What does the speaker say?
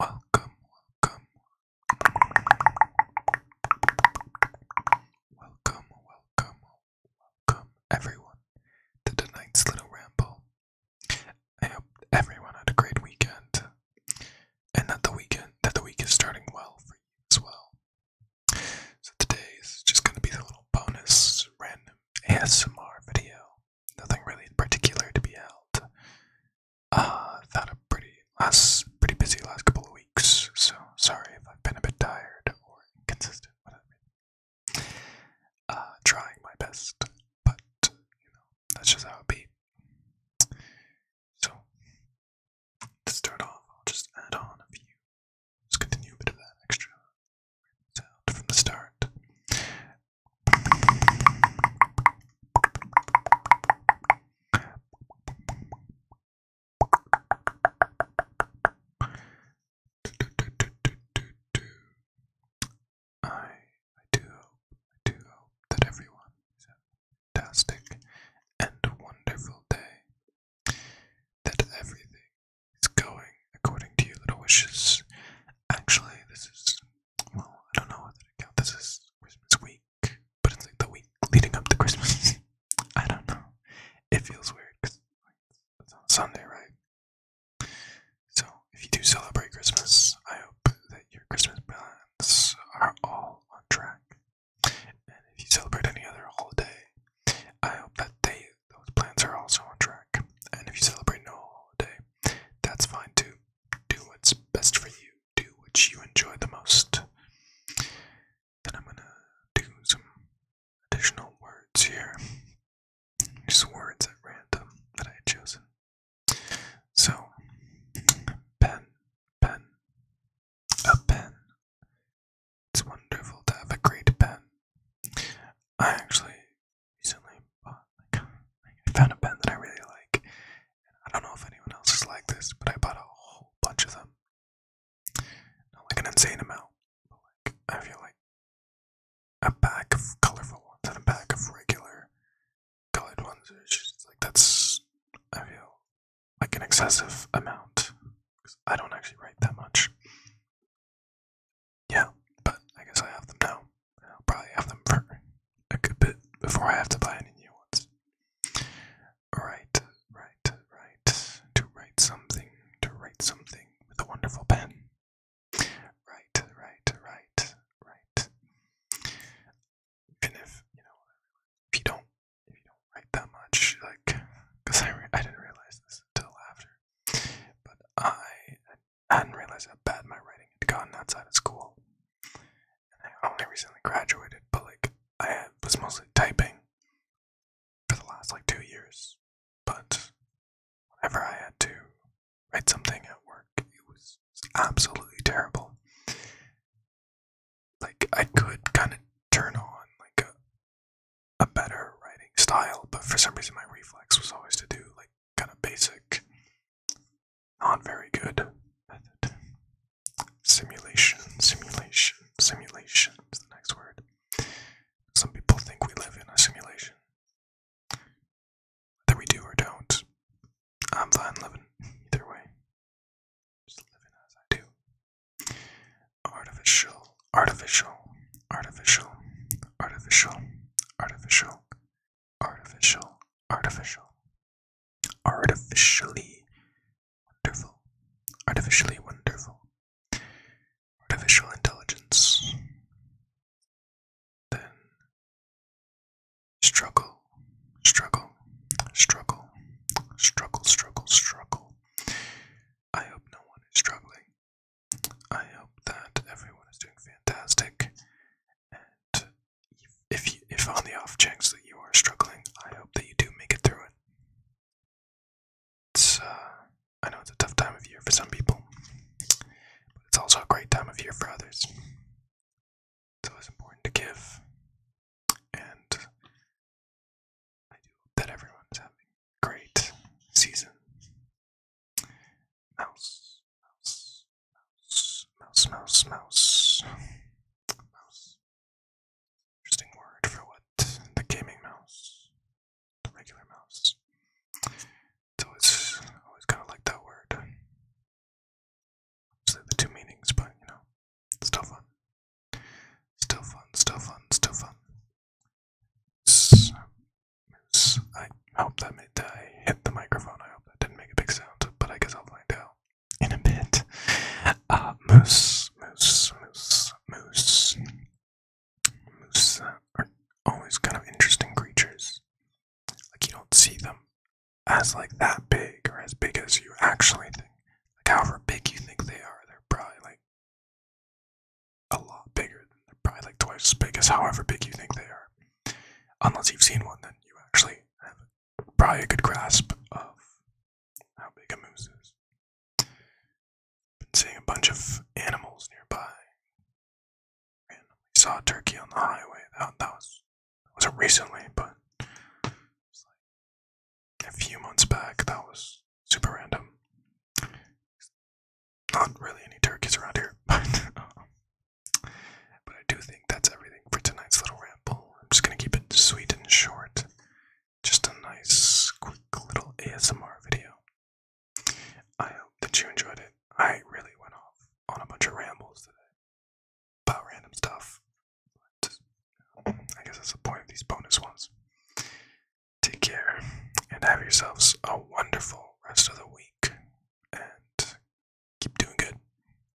Welcome, welcome. Welcome, welcome, everyone to tonight's little ramble. I hope everyone had a great weekend. And that the weekend that the week is starting well for you as well. So today is just gonna be a little bonus random ASMR video nothing really particular to be held. I've had a pretty last, pretty busy last couple of weeks, so sorry if I've been a bit tired or inconsistent. Uh, trying my best, but you know that's just how it be. So to start off, I'll just add on a few. Let's continue a bit of that extra sound from the start. I do hope that everyone is a fantastic and wonderful day that everything is going according to your little wishes. Actually, this is, well, I don't know whether to count this is Christmas week, but it's like the week leading up to Christmas. I don't know. It feels weird because it's on Sunday, right? So, if you do celebrate Christmas, I hope that your Christmas plans are all on track. And if you celebrate any other holiday, I hope that they those plans are also on track. And if you celebrate no holiday, that's fine too. Do what's best for you. Do what you enjoy the most. Then I'm gonna do some additional words here. Just words at random that I had So, pen, pen, a pen. It's wonderful to have a great pen. I actually recently bought, I found a pen that I really like. I don't know if anyone else is like this, but I bought a whole bunch of them. Not like an insane amount, but like, I feel like a pack of colorful ones and a pack of regular colored ones. It's just like, that's, I feel like an excessive amount. I don't actually write that much. Yeah, but I guess I have them now. I'll probably have them for a good bit before I have to buy any new ones. Right, right, right. To write something, to write something with a wonderful pen. Right, right, right, right even if you know if you don't if you don't write that much like because I, I didn't realize this until after but I hadn't realized how bad my writing had gotten outside of school and I only recently graduated but like I had, was mostly typing for the last like two years but whenever I had to write something at work it was absolutely terrible. Like I could kind of turn on like a, better writing style, but for some reason my reflex was always to do like kind of basic, not very good method. Simulation, simulation, simulation is the next word. Some people think we live in a simulation. Whether we do or don't, I'm fine living either way. Just living as I do. Artificial, artificial, artificial, artificial, artificial, artificial, artificial. Artificially wonderful. Artificially wonderful. Artificial intelligence. Then struggle, struggle, struggle, struggle, struggle, struggle. I hope no one is struggling. I hope that everyone is doing fantastic. And if you, if on the off chance that you are struggling, I hope that you do make it through it. It's, uh, I know it's a tough time of year for some people, but it's also a great time of year for others. It's always important to give, and I do hope that everyone's having a great season. mouse, mouse, mouse, mouse, mouse. Mouse. Interesting word for what the gaming mouse regular mouse. So it's always kind of like that word. So the two meanings, but you know, still fun. Still fun, still fun, still fun. I hope that I hit the microphone. I hope that didn't make a big sound, but I guess I'll find out in a bit. Uh, moose, moose, moose, moose. Moose are always kind of interesting creatures. Like you don't see them as like that big or as big as you actually think. Like however big you think they are, they're probably like a lot bigger. Than, they're probably like twice as big as however big you think they are. Unless you've seen one, then you actually have probably a good grasp of how big a moose is. Been seeing a bunch of animals nearby. Randomly saw a turkey on the highway. That, that was that wasn't recently, but a few months back. That was super random. Not really any turkeys around here, but but I do think that's everything for tonight's little ramble. I'm just gonna keep it sweet and short. Just a nice, quick little ASMR video. I hope that you enjoyed it. I really went off on a bunch of rambles today about random stuff. I guess that's the point of these bonus ones. Take care and have yourselves a wonderful rest of the week and keep doing good.